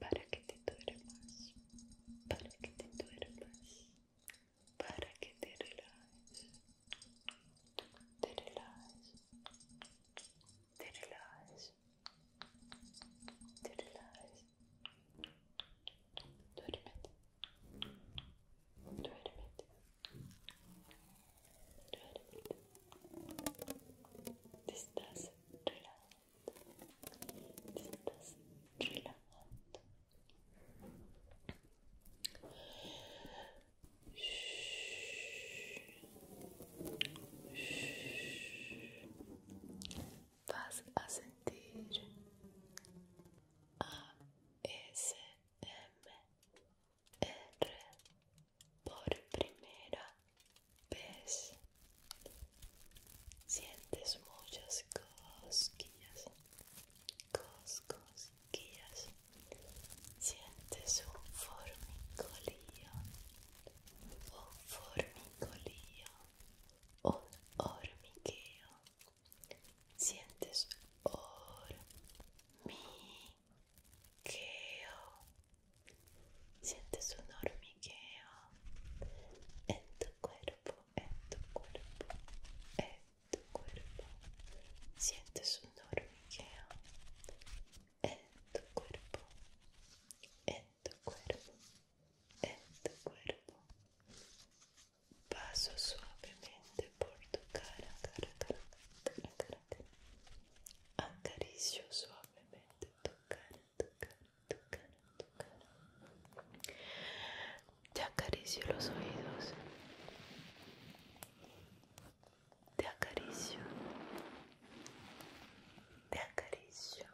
para que te duermas, para que te duermas, para que te relajes, te relajes, te relajes, te relajes, duérmete, duérmete, te estás relajando, estás relajando. Vas a sentir por primera vez sientes muchas cosquillas, cosquillas, sientes un formicolío, un formicolío, un hormigueo, sientes hormigueo. hormigueo. Sientes un hormigueo en tu cuerpo, en tu cuerpo, en tu cuerpo. Sientes un hormigueo en tu cuerpo, en tu cuerpo, en tu cuerpo. Paso suavemente por tu cara, cara, cara, cara, cara. Acaricio suavemente tu cara, Te acaricio los oídos. Te acaricio. Te acaricio.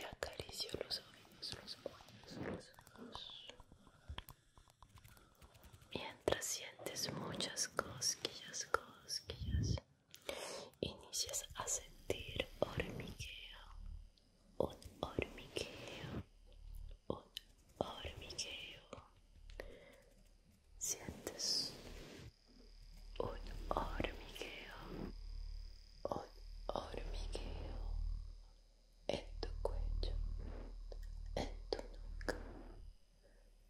Te acaricio los oídos, los oídos, los ojos. Mientras sientes muchas cosquillas, cosquillas, inicias a sentir hormigueo, un hormigueo, un hormigueo. Sientes un hormigueo, un hormigueo en tu cuello, en tu nuca.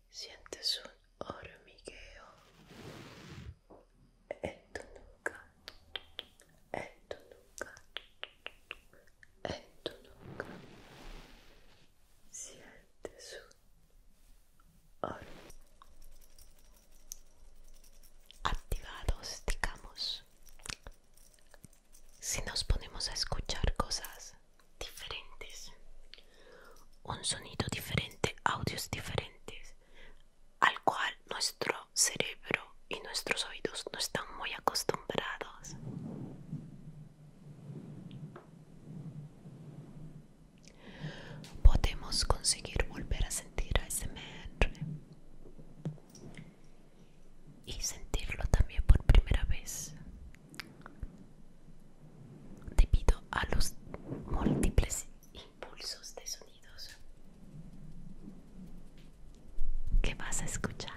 Sientes un hormigueo en tu nuca, en tu Sientes un Activados, digamos si nos ponemos a escuchar cosas diferentes, un sonido diferente, audios diferentes, al cual nuestro cerebro y nuestros oídos no están muy acostumbrados. Podemos conseguir volver a sentir ASMR y sentirlo también por primera vez debido a los múltiples impulsos de sonidos ¿Qué vas a escuchar.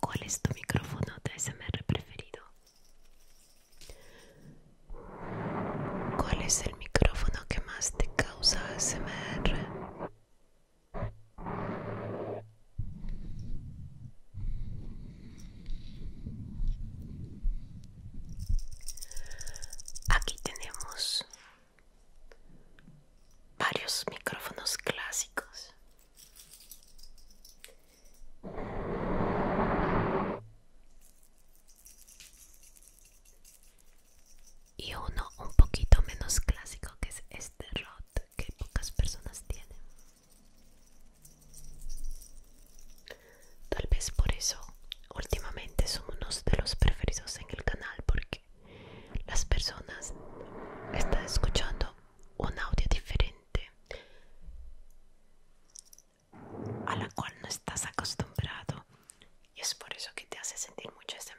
¿Cuál es tu micrófono de SMR preferido? ¿Cuál es el micrófono que más te causa SMR? Aquí tenemos varios micrófonos clásicos y uno un poquito menos clásico que es este R.O.T. que pocas personas tienen tal vez por eso últimamente son unos de los preferidos en el canal porque las personas están escuchando un audio diferente a la cual no estás acostumbrado y es por eso que te hace sentir mucho SMR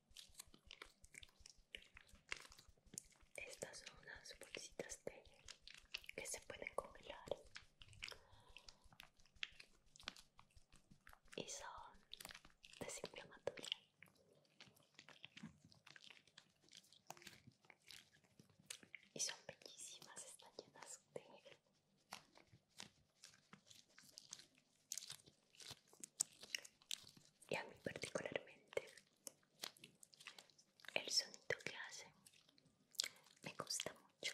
Estas son unas bolsitas de que se pueden congelar y son desinflamatorias. Y son bellísimas, están llenas de y a mí particularmente el sonido que hace me gusta mucho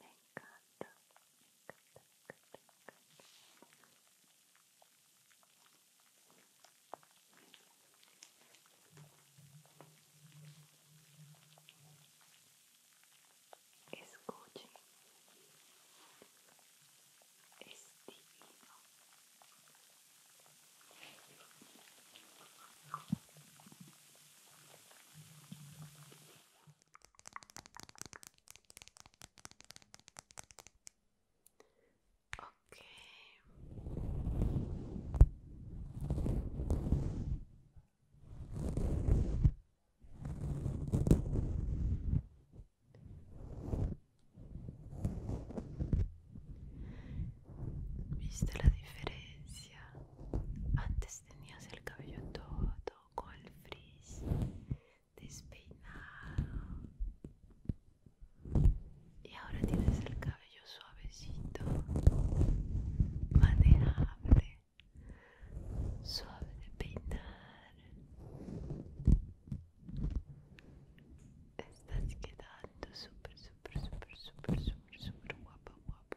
Me encanta, me encanta, me encanta, me encanta. Escuchen, es divino. Okay. ¿Viste la diferencia? Antes tenías el cabello todo, todo el frizz, despeinado. Y ahora tienes el cabello suavecito, manejable, suave de peinar. Estás quedando super, super, super, super, super súper guapa, guapa.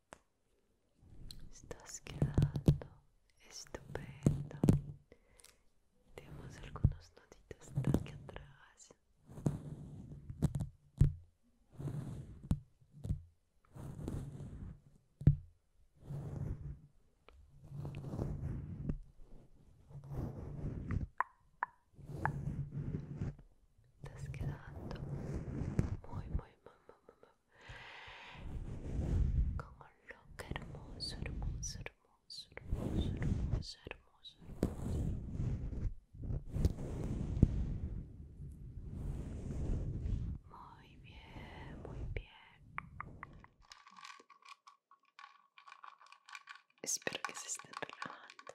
Estás quedando estupendo. Tenemos algunos notitas aquí atrás. Estás quedando muy, muy, muy, muy, muy, con un look hermoso, hermoso, hermoso, hermoso, hermoso, hermoso, hermoso. Muy bien, muy bien. Espero que se estén relajando.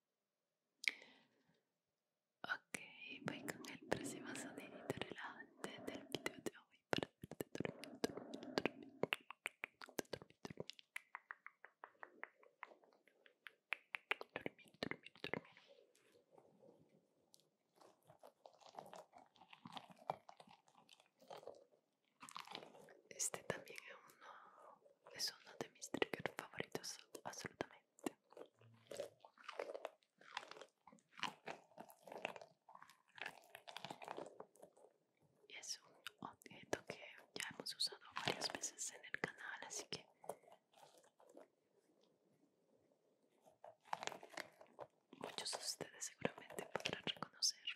Ok, voy con el próximo sonidito del video de hoy para dormir, dormir, dormir, dormir, dormir. Dormir, Este también es uno es uno de mis triggers favoritos absolutamente y es un objeto que ya hemos usado varias veces en el canal así que muchos de ustedes seguramente podrán reconocerlo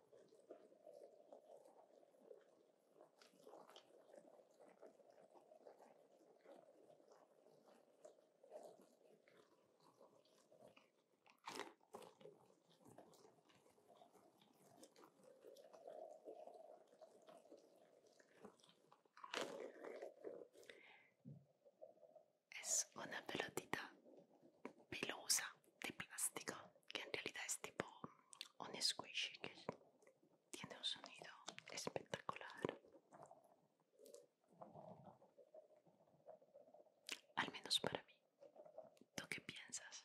Es una pelotita pelosa de plástico que en realidad es tipo un squishy que tiene un sonido espectacular al menos para mí ¿tú qué piensas?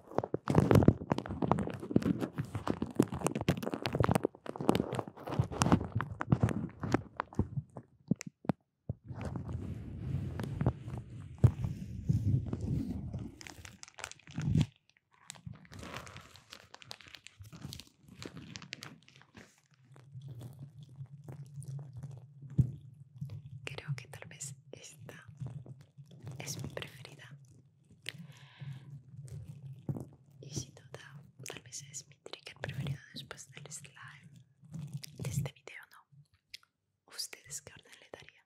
Creo que tal vez esta es mi preferida y sin duda, tal vez es mi trigger preferido después del slime. De este video, ¿no? ¿Ustedes qué orden le darían?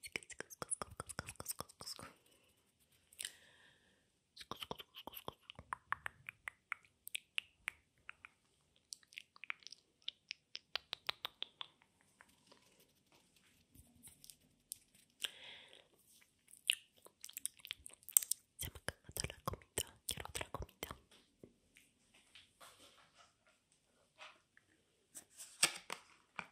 Se me ha acabado la comida, quiero otra comida.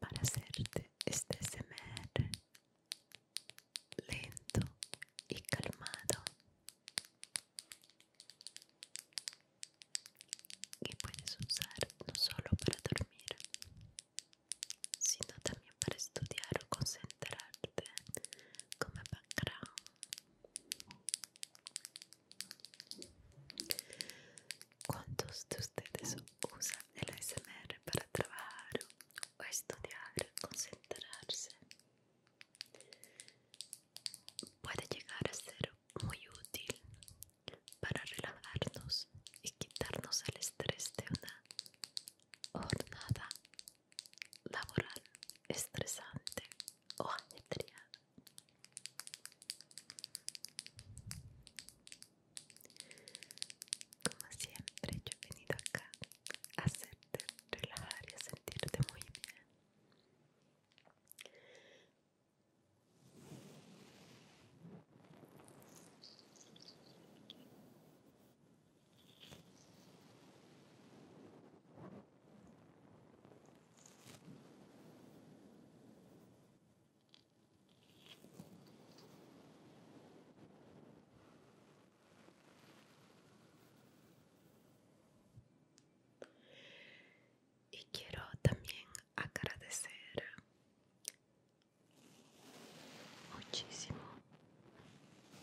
para hacerte este SMR lento y calmado que puedes usar no solo para dormir sino también para estudiar o concentrarte como background ¿Cuántos de ustedes usan el ASMR para trabajar o estudiar, concentrarse? Puede llegar a ser muy útil para relajarnos y quitarnos el estrés de una jornada laboral estresante o ajetreada. Como siempre, yo he venido acá a hacerte relajar y a sentirte muy bien. Y quiero también agradecer muchísimo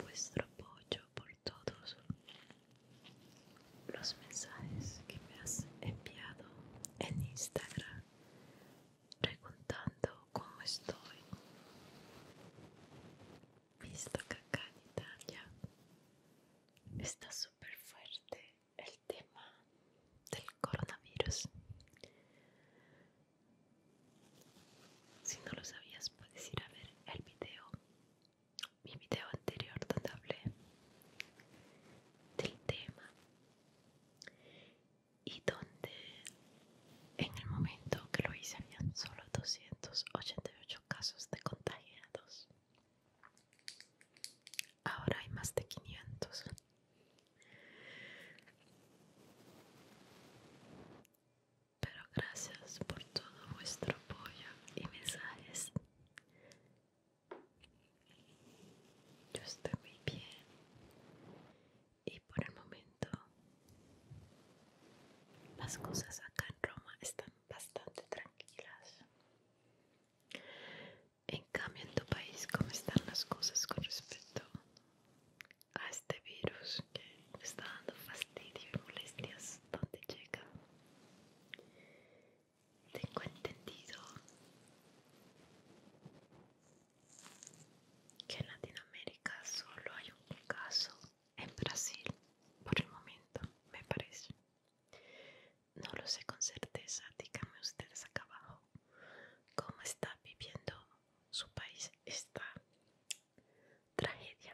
vuestro apoyo todos los mensajes que me has enviado en Instagram preguntando cómo estoy. Visto que acá en Italia está súper fuerte el tema del coronavirus. Si no lo sabías, puedes ir a ver el video mi video anterior donde hablé del tema y donde en el momento que lo hice habían solo 288 casos de contagiados. Ahora hay más de 500. Pero gracias por todo vuestro apoyo y mensajes yo estoy muy bien y por el momento las cosas acá en Roma están bastante tranquilas. En cambio, en tu país, ¿cómo están las cosas con respecto a este virus que está dando fastidio y molestias donde llega? Tengo entendido que en Latinoamérica solo hay un caso en Brasil, por el momento, me parece. No lo sé con certeza, díganme ustedes acá abajo cómo está viviendo su país esta tragedia.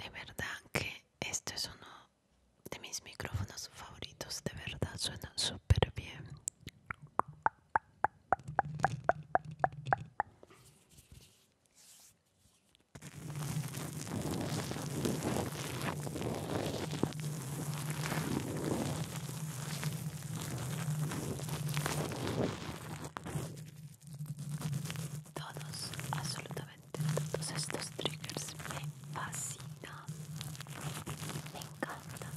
De verdad que este es uno de mis micrófonos favoritos, de verdad cioè suena súper bien. Todos, absolutamente todos estos triggers me fascinan. Me encanta.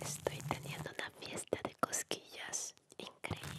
Estoy teniendo una fiesta de cosquillas increíble.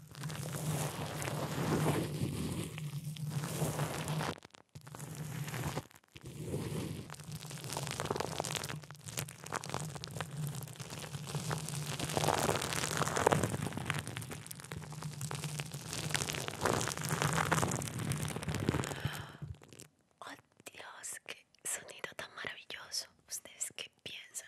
Oh Dios, qué sonido tan maravilloso. ¿Ustedes qué piensan?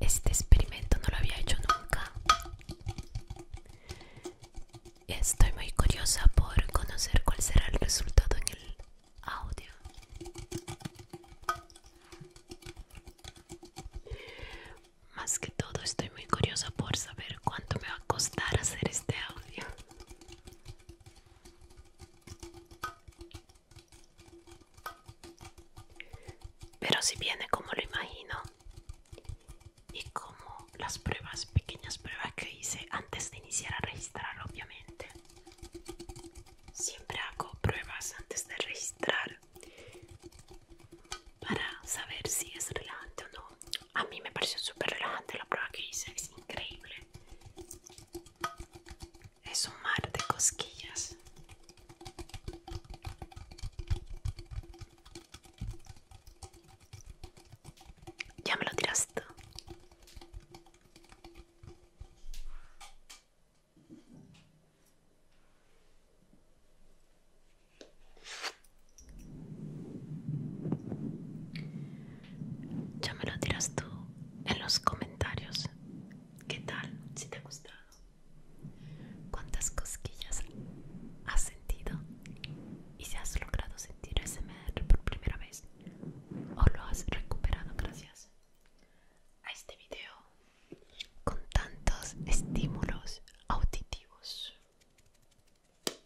Este experimento no lo había hecho nunca. Estoy muy curiosa por conocer cuál será el resultado en el audio. Más que todo estoy muy curiosa por saber cuánto me va a costar hacer este audio. Pero si viene como lo imagino y como las pruebas, pequeñas pruebas que hice antes de iniciar a registrar, obviamente. Siempre hago pruebas antes de registrar para saber si es relevante o no. A mí me pareció súper relevante la prueba que hice, es increíble. Es un mar de cosquillas. Ya me lo tiraste. Ya me lo dirás tú en los comentarios. ¿Qué tal? Si te ha gustado. ¿Cuántas cosquillas has sentido? ¿Y si has logrado sentir SMR por primera vez? ¿O lo has recuperado gracias a este video con tantos estímulos auditivos?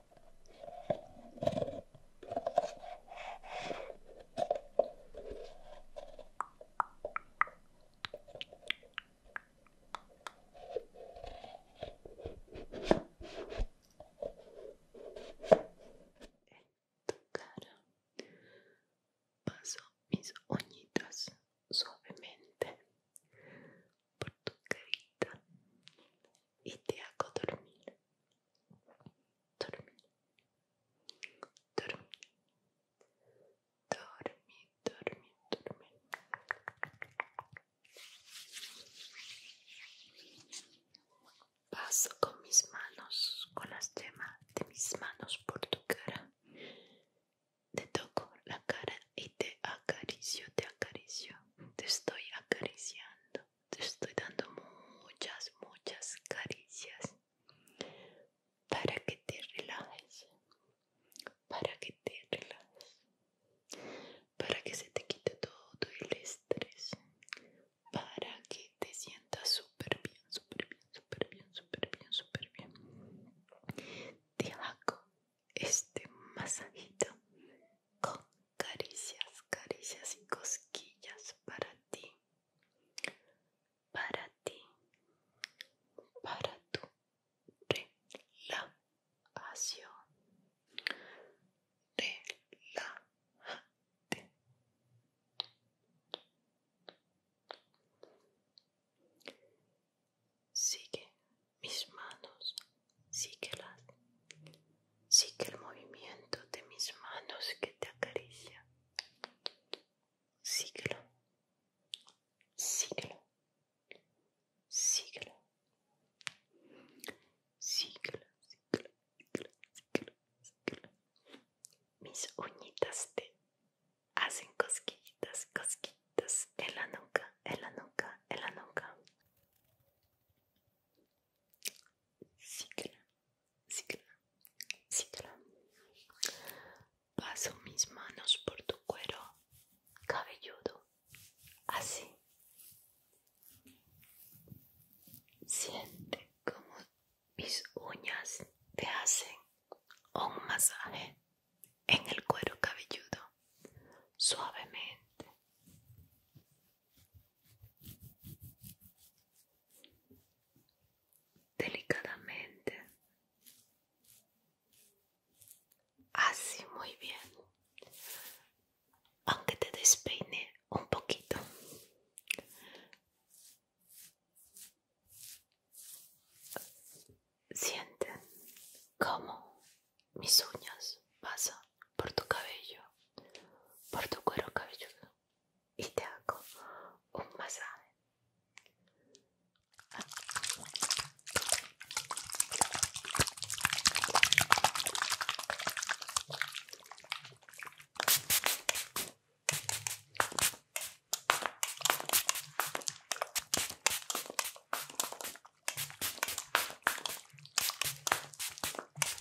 En tu cara paso mis uñitas suavemente por tu carita y te hago dormir dormir, dormir, dormir, dormir, dormir. Paso con mis manos, con las yemas de mis manos por tu cara. Te toco la cara y te acaricio, te acaricio, te estoy acariciando te estoy dando muchas, muchas caricias para que te relajes, para que te relajes, para que se te quite todo el estrés, para que te sientas súper bien, súper bien, súper bien, súper bien, súper bien. Te hago este masajito con caricias, caricias y cosquillas para ti, para ti, para tu relajación. Relájate. Sigue mis manos Sigue, el movimiento de mis manos que te acaricia. siglo Síguelo. Síguelo. Síguelo. Síguelo. Síguelo. Síguelo. Mis uñitas te hacen cosquillitas, cosquillitas en la nuca, en la nuca, en la nuca cicla, cicla, cicla. Paso mis manos por tu cuero cabelludo, así. Siente como mis uñas te hacen un masaje en el cuero cabelludo suavemente delicadamente así muy bien aunque te despeine un poquito siente cómo mis uñas pasan por tu cabello por tu cuero cabelludo y te hago un masaje.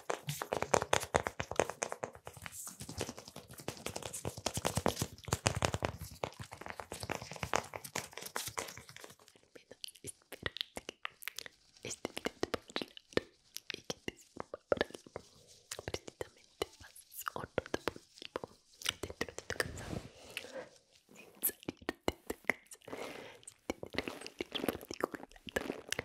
espero este video te va a relajar y que te sirva para precisamente más honrado positivo dentro de tu casa sin salirte de tu casa sin tener que sentir por ti con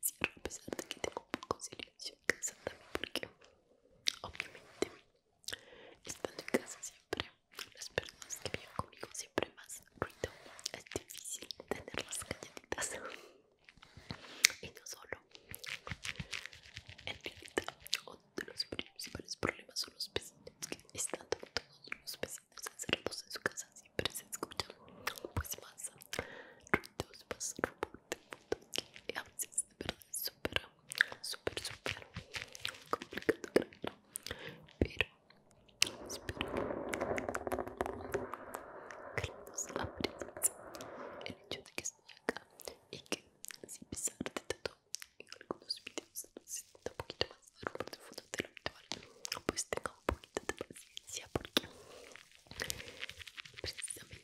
siempre a pesar de que tengo un poco silencio en casa también porque obviamente estando en casa siempre las personas que viven conmigo siempre más ruido es difícil tener las calladitas y no solo en realidad uno de los principales problemas son los vecinos que estando todos los vecinos encerrados en su casa siempre se escuchan pues más ruidos más reporte que a veces de verdad es súper super súper complicado pero espero que nos aprecies el hecho de que estoy acá y que sin pisar de tanto en algunos videos necesito un poquito más de fondo de lo habitual pues tenga un poquito de paciencia porque precisamente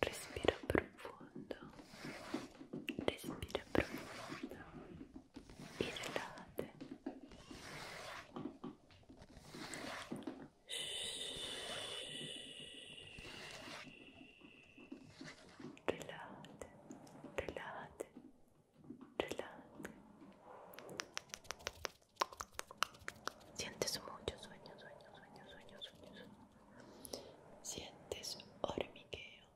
respira profundo, respira profundo y relájate. Relájate, relájate, relájate. Sientes mucho sueño, sueño, sueño, sueño, sueño. sueño. Sientes hormigueo,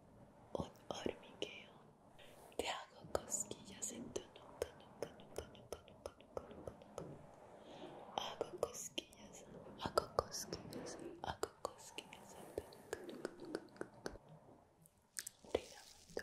un hormigueo. Te hago cosquillas en tu Hago cosquillas, hago cosquillas, hago cosquillas Relajando,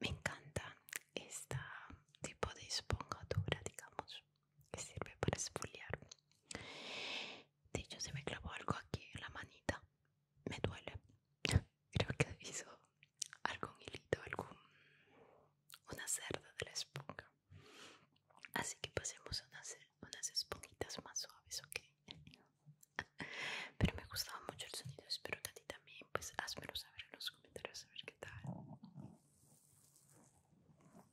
Me encanta este tipo de esponjadura, digamos que sirve para esfoliar. De hecho, se me clavó algo aquí en la manita. Me duele. Creo que hizo algún hilito, algún. una cerda de la esponja. Así que pasemos unas, unas esponjitas más suaves, ok. Pero me gustaba mucho el sonido, espero que a ti también. Pues házmelo saber en los comentarios, a ver qué tal.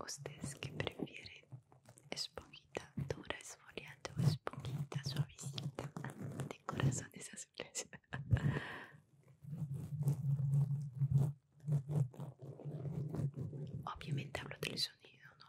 ¿Ustedes que prefieren? ¿Esponjita dura, esfoliante o esponjita suavecita de corazones azules? Obviamente hablo del sonido, ¿no?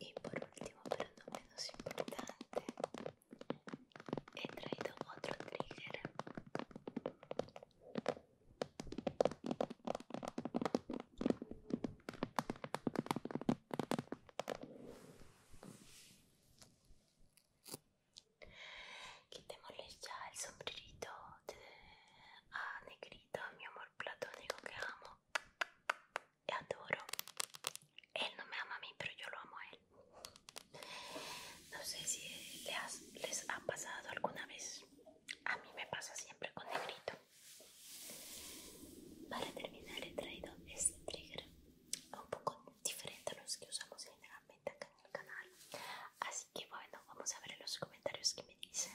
Y por último, pero no menos importante, he traído otro trigger. te ya el sombrerito a ah, Negrito, mi amor platónico que amo adoro. Él no me ama a mí, pero yo lo amo a él. No sé si les, ha pasado alguna vez. A mí me pasa siempre con negrito. Para terminar he traído este trigger un poco diferente a los que usamos generalmente acá en el canal. Así que bueno, vamos a ver en los comentarios que me dicen.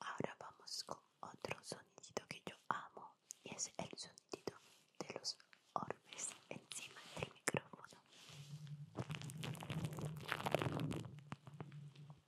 Ahora vamos con otro sonidito que yo amo y es el sonido de los orbes encima del micrófono.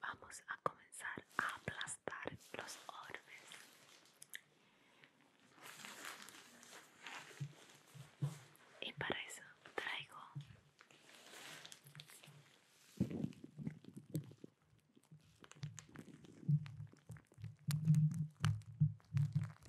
Vamos a comenzar a aplastar los orbes. Y para eso traigo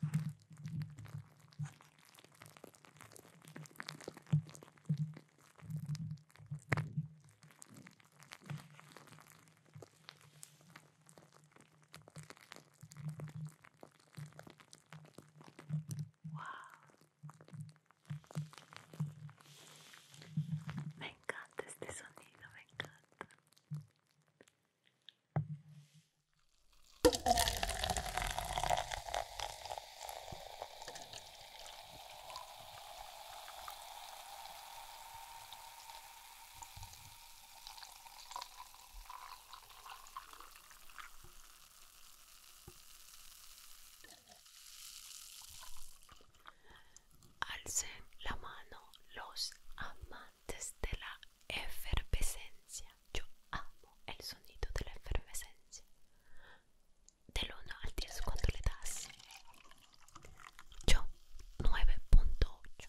Wow. Me encanta este sonido, me encanta. Alcen la mano los amas. Desde la efervescencia. Yo amo el sonido de la efervescencia. Del 1 al 10, cuando le das? Yo, 9.8.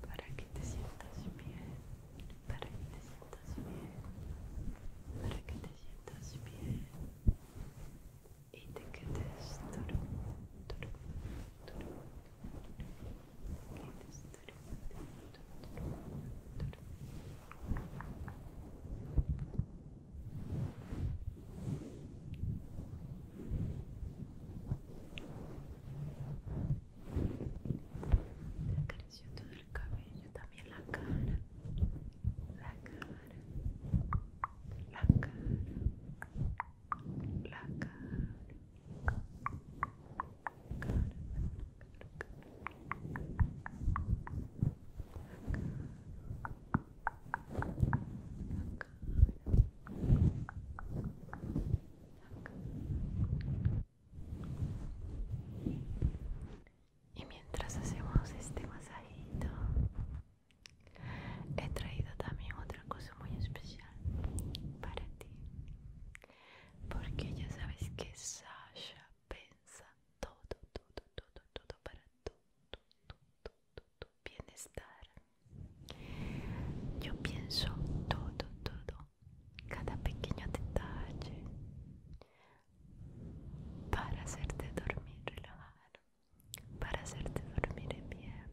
Para que te sientas bien, para que te sientas bien, para que te sientas bien y te quedes duro, duro, duro, quedes duro, duro, duro, duro. Te acarició todo el cabello, también la cara, la cara, la cara. La cara. Y mientras hacemos este masajito, he traído también otra cosa muy especial para ti. Porque ya sabes que Sasha Pensa todo, todo, todo, todo para tú, tu bienestar. Yo pienso todo, todo, cada pequeño detalle para hacerte dormir, relajar, para hacerte dormir bien,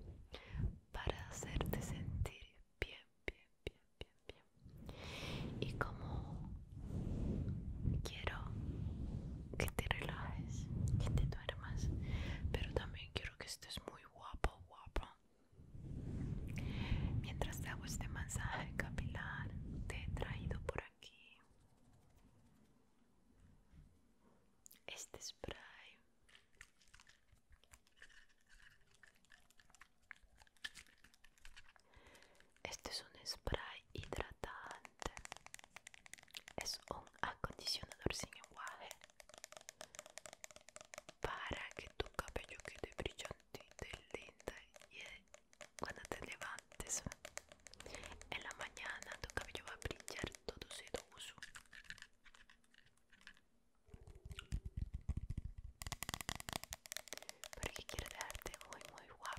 para hacerte sentir bien, bien, bien, bien, bien. Y como quiero que te relajes, que te pero también quiero que estés muy guapo, guapo. Mientras te hago este masaje capilar, te he traído por aquí este spray. Este es un spray hidratante es un acondicionador sin igual para que tu cabello quede brillante y linda y eh, cuando te levantes en la mañana tu cabello va a brillar todo sedoso porque quiero dejarte muy muy guapo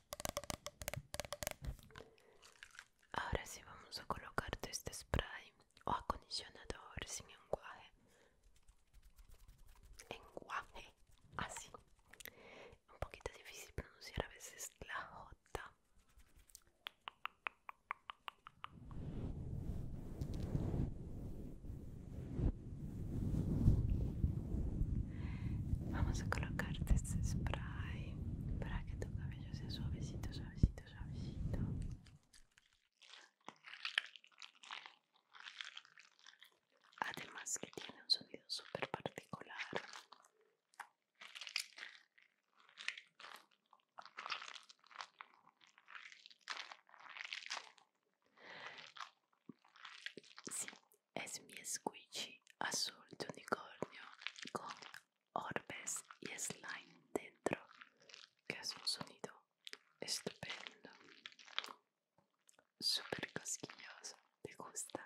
Ahora sí vamos a colocarte este spray o acondicionador sin enguaje. Enguaje, así. Un poquito difícil pronunciar a veces la J. Vamos a colocarte este spray para que tu cabello sea suavecito, suavecito, suavecito. Además que tiene un sonido súper particular. Sí, es mi squishy azul de unicornio con orbes y slime dentro, que es un sonido estupendo, super cosquilloso, ¿te gusta?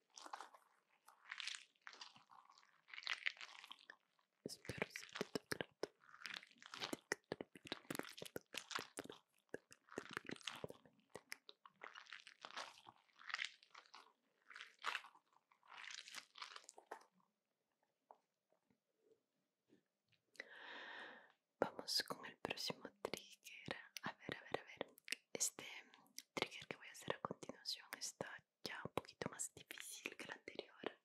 Espero Vamos con el próximo trigger. A ver, a ver, a ver este trigger que voy a hacer a continuación está ya un poquito más difícil que el anterior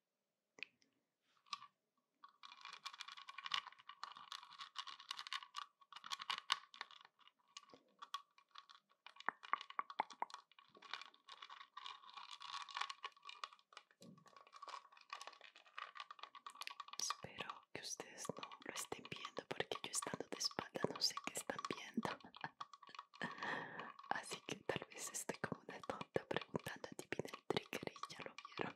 Espero que ustedes no lo estén viendo porque yo estando de espalda no sé qué están viendo. Así que tal vez estoy como una tonta preguntando, ti adivina el trigger y ya lo vieron.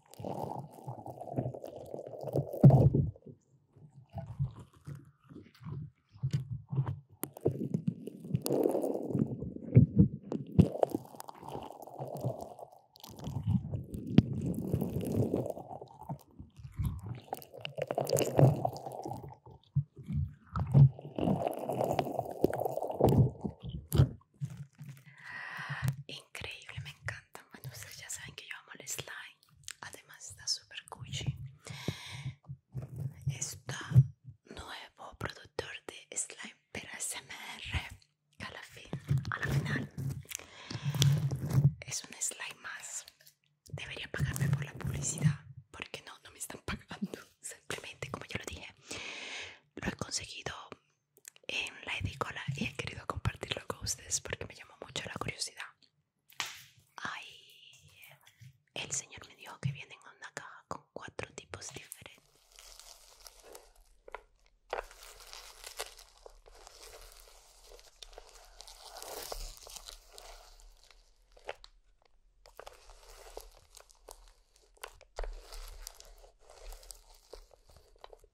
Increíble, me encanta. Bueno, ustedes ya saben que yo amo el slime. Además está super gucci este nuevo productor de slime para SMR. Que a la fin, final es un slime más. Debería pagarme por la publicidad porque no, no me están pagando. Simplemente como yo lo dije, lo he conseguido en la edicola y he querido compartirlo con ustedes porque me llamó mucho la curiosidad. Ay, el señor me dijo que vienen en una caja con cuatro tipos diferentes.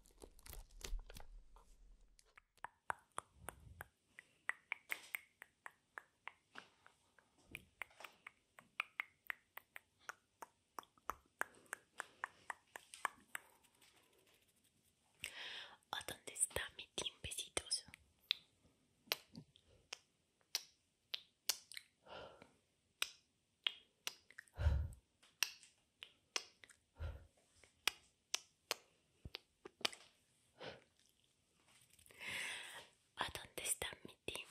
a oh, dónde está mi team ¿A dónde está mi team?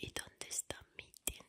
¿Y dónde está mi tiempo?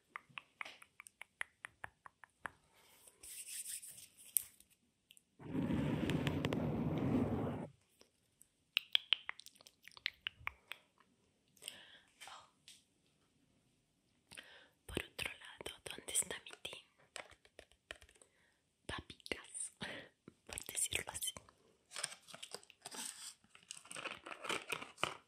Por otro lado, ¿dónde está mi team? Papitas, por decirlo así.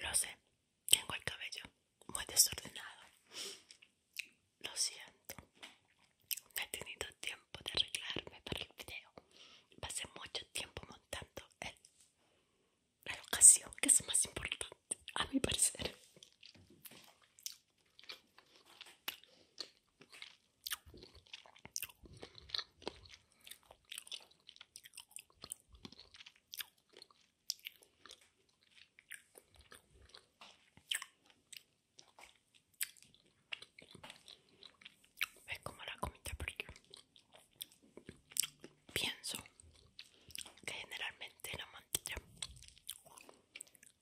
Lo sé, tengo el cabello muy desordenado. Lo siento. No he tenido tiempo de arreglarme para el video. Pasé mucho tiempo montando el la educación que es más importante a mi parecer ¿Ves cómo la comida por pienso que generalmente la mantilla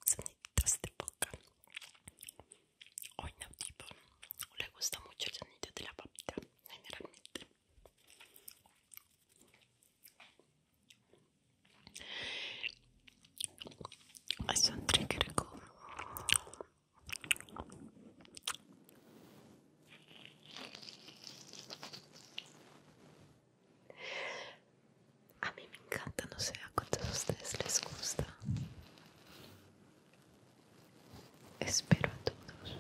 Zanitas de boca o tipo le gusta mucho el sonido de la papita generalmente es un trigger con a mí me encanta, no sé a cuántos de ustedes les gusta. Espero a todos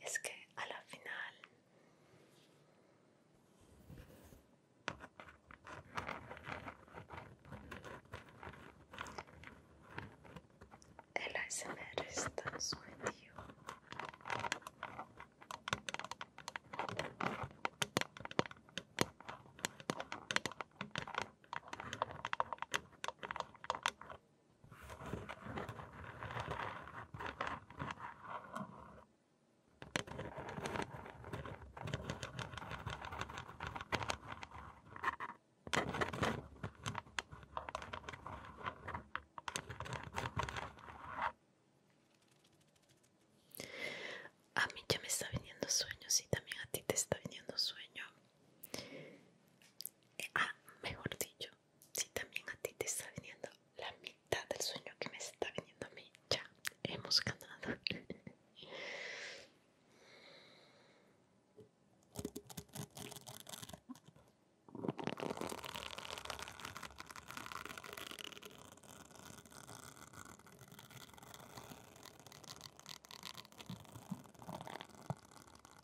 es que a la final el ASMR está sometido a mí ya me está viniendo sueño, si también a ti te está viniendo sueño. Ah, mejor dicho, si también a ti te está viniendo la mitad del sueño que me está viniendo a mí, ya hemos ganado.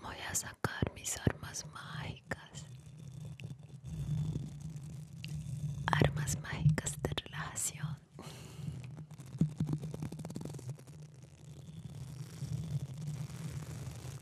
Voy a sacar mis armas mágicas. Armas mágicas de relación.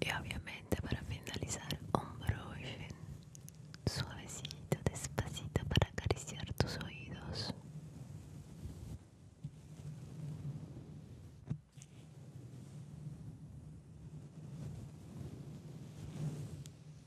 Y obviamente para finalizar un suavecito, despacito para acariciar tus oídos.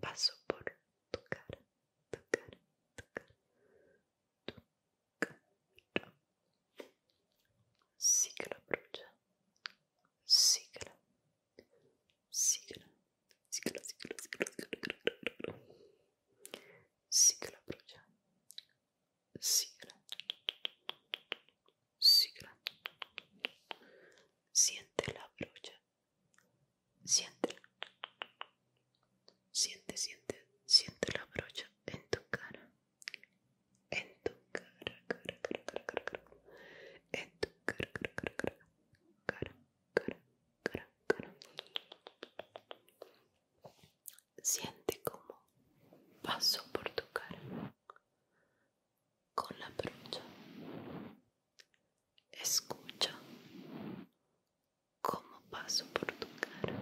paso por tu cara, tu cara, tu cara, tu cara. brocha. Siente la brocha. Siente. Siente, siente, siente la brocha en tu cara. En tu cara, cara, cara, cara, cara, cara. En tu cara, cara, cara, cara, cara, cara, cara, cara. Siente como paso por tu cara con la brocha. Escucha como paso por tu cara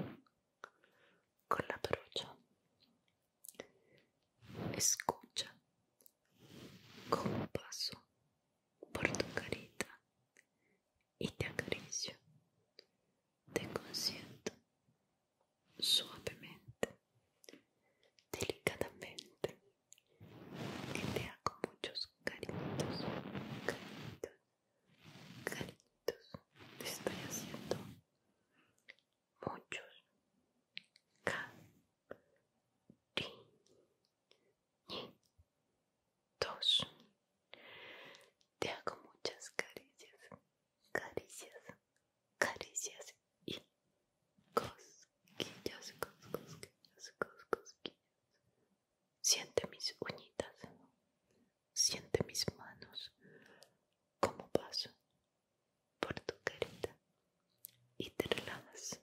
con la brocha. Escucha como paso por tu carita y te acaricio. Te consiento suavemente, delicadamente te hago muchos caritos, caritos, caritos. Te estoy haciendo muchos caritos. Te hago muchas caricias, caricias, caricias y cosquillas, cosquillas, Siente mis uñitas, siente mis manos, como paso por tu carita y te relajas.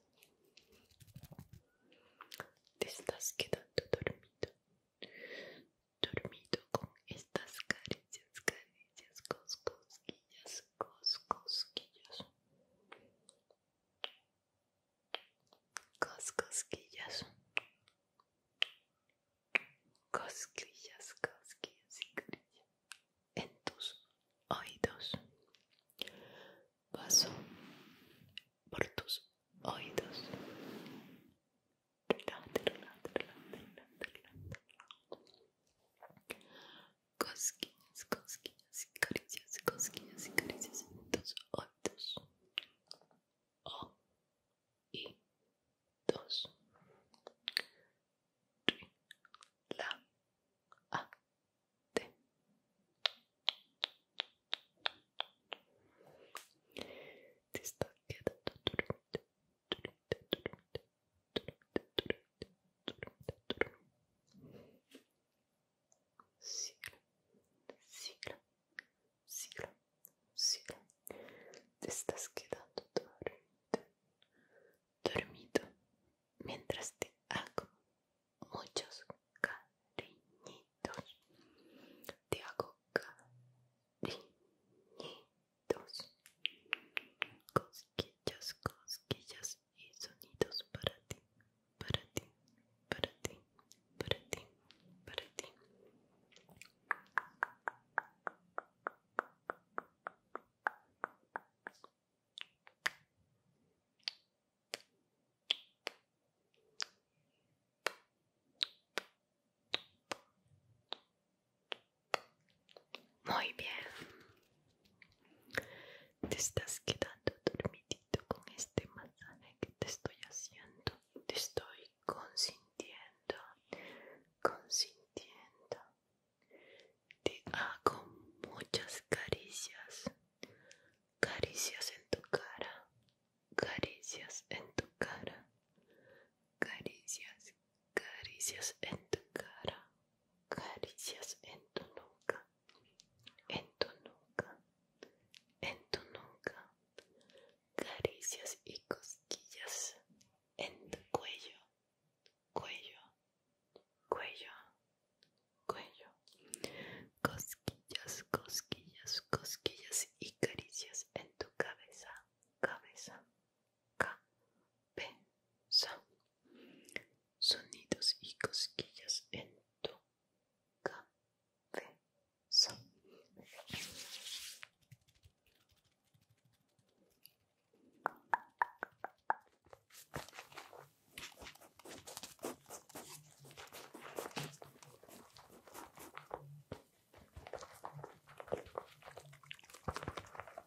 Te estás quedando dormido, dormido con estas caricias, caricias, cosquillas, cosquillas cosquillas cosquillas cosquillas y cosquillas en tus oídos paso por tus oídos cosquillas, cosquillas y caricias, cosquillas y caricias oh, dos, O, i, dos, la, a, te siglo, siglo, siglo, siglo. Te estás quedando dormido, dormido mientras te hago muchos cariñitos. Te hago cariñitos, cosquillas, cosquillas y sonidos para ti, para ti, para ti, para ti, para ti. Muy bien. Te estás quedando dormidito con este masaje que te estoy haciendo. Te estoy consintiendo, consintiendo. Te hago muchas caricias. Caricias en tu cara. Caricias en tu cara. Caricias, caricias en tu cara caricias en tu nuca, en tu nuca, en tu nuca, caricias y cosquillas en tu cuello, cuello, cuello, cuello, cosquillas, cosquillas, cosquillas y caricias en tu cabeza, cabeza, cabeza sonidos y cosquillas en tu cabeza.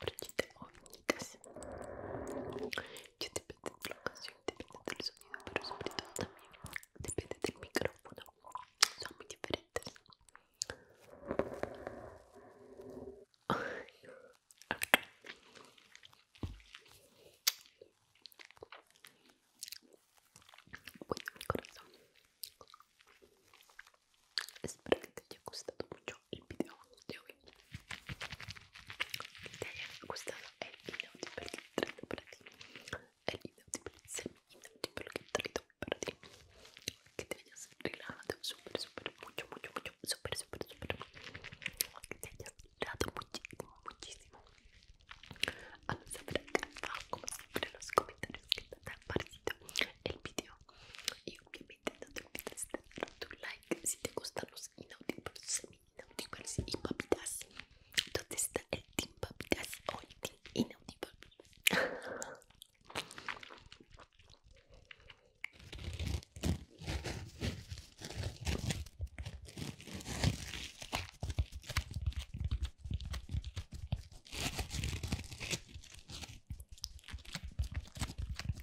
brochita o uñitas. Ya depende de la ocasión, depende del sonido, pero sobre todo también depende del micrófono. Son muy diferentes. Bueno, mi corazón. Espero que te haya gustado mucho el video de hoy. Que te haya gustado el inaudible que traigo para ti. El inaudible semi el que traigo para ti. Que te hayas relajado súper, súper, mucho, mucho, mucho, súper, súper, súper. Que te hayas relajado muchísimo, muchísimo. Hazme saber acá abajo, como siempre, en los comentarios que te ha parecido el video que no te olvides de tu like si te gustan los inaudibles, semi-inaudibles y papitas. entonces está el team papitas o el team inaudible?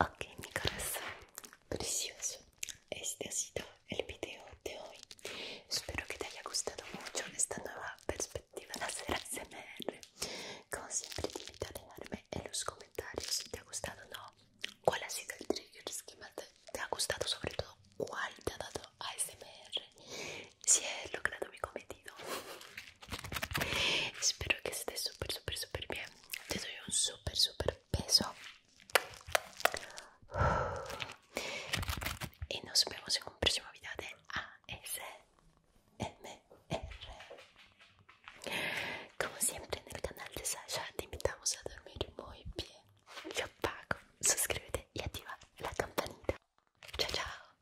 Ok, mi corazón precioso, este ha sido el video de hoy. Espero que te haya gustado mucho esta nueva perspectiva de hacer ASMR. Como siempre, te a en los comentarios si te ha gustado o no. ¿Cuál ha sido el trigger que más te, ha gustado? Sobre todo, ¿cuál te ha dado ASMR? Si he logrado mi cometido. Espero que estés súper, súper, súper bien te doy un super, super beso. Y nos vemos en un próximo video de ASMR. Como siempre en el canal de Sasha te invitamos a dormir muy bien. Yo pago. Suscríbete y activa la campanita. Chao, chao.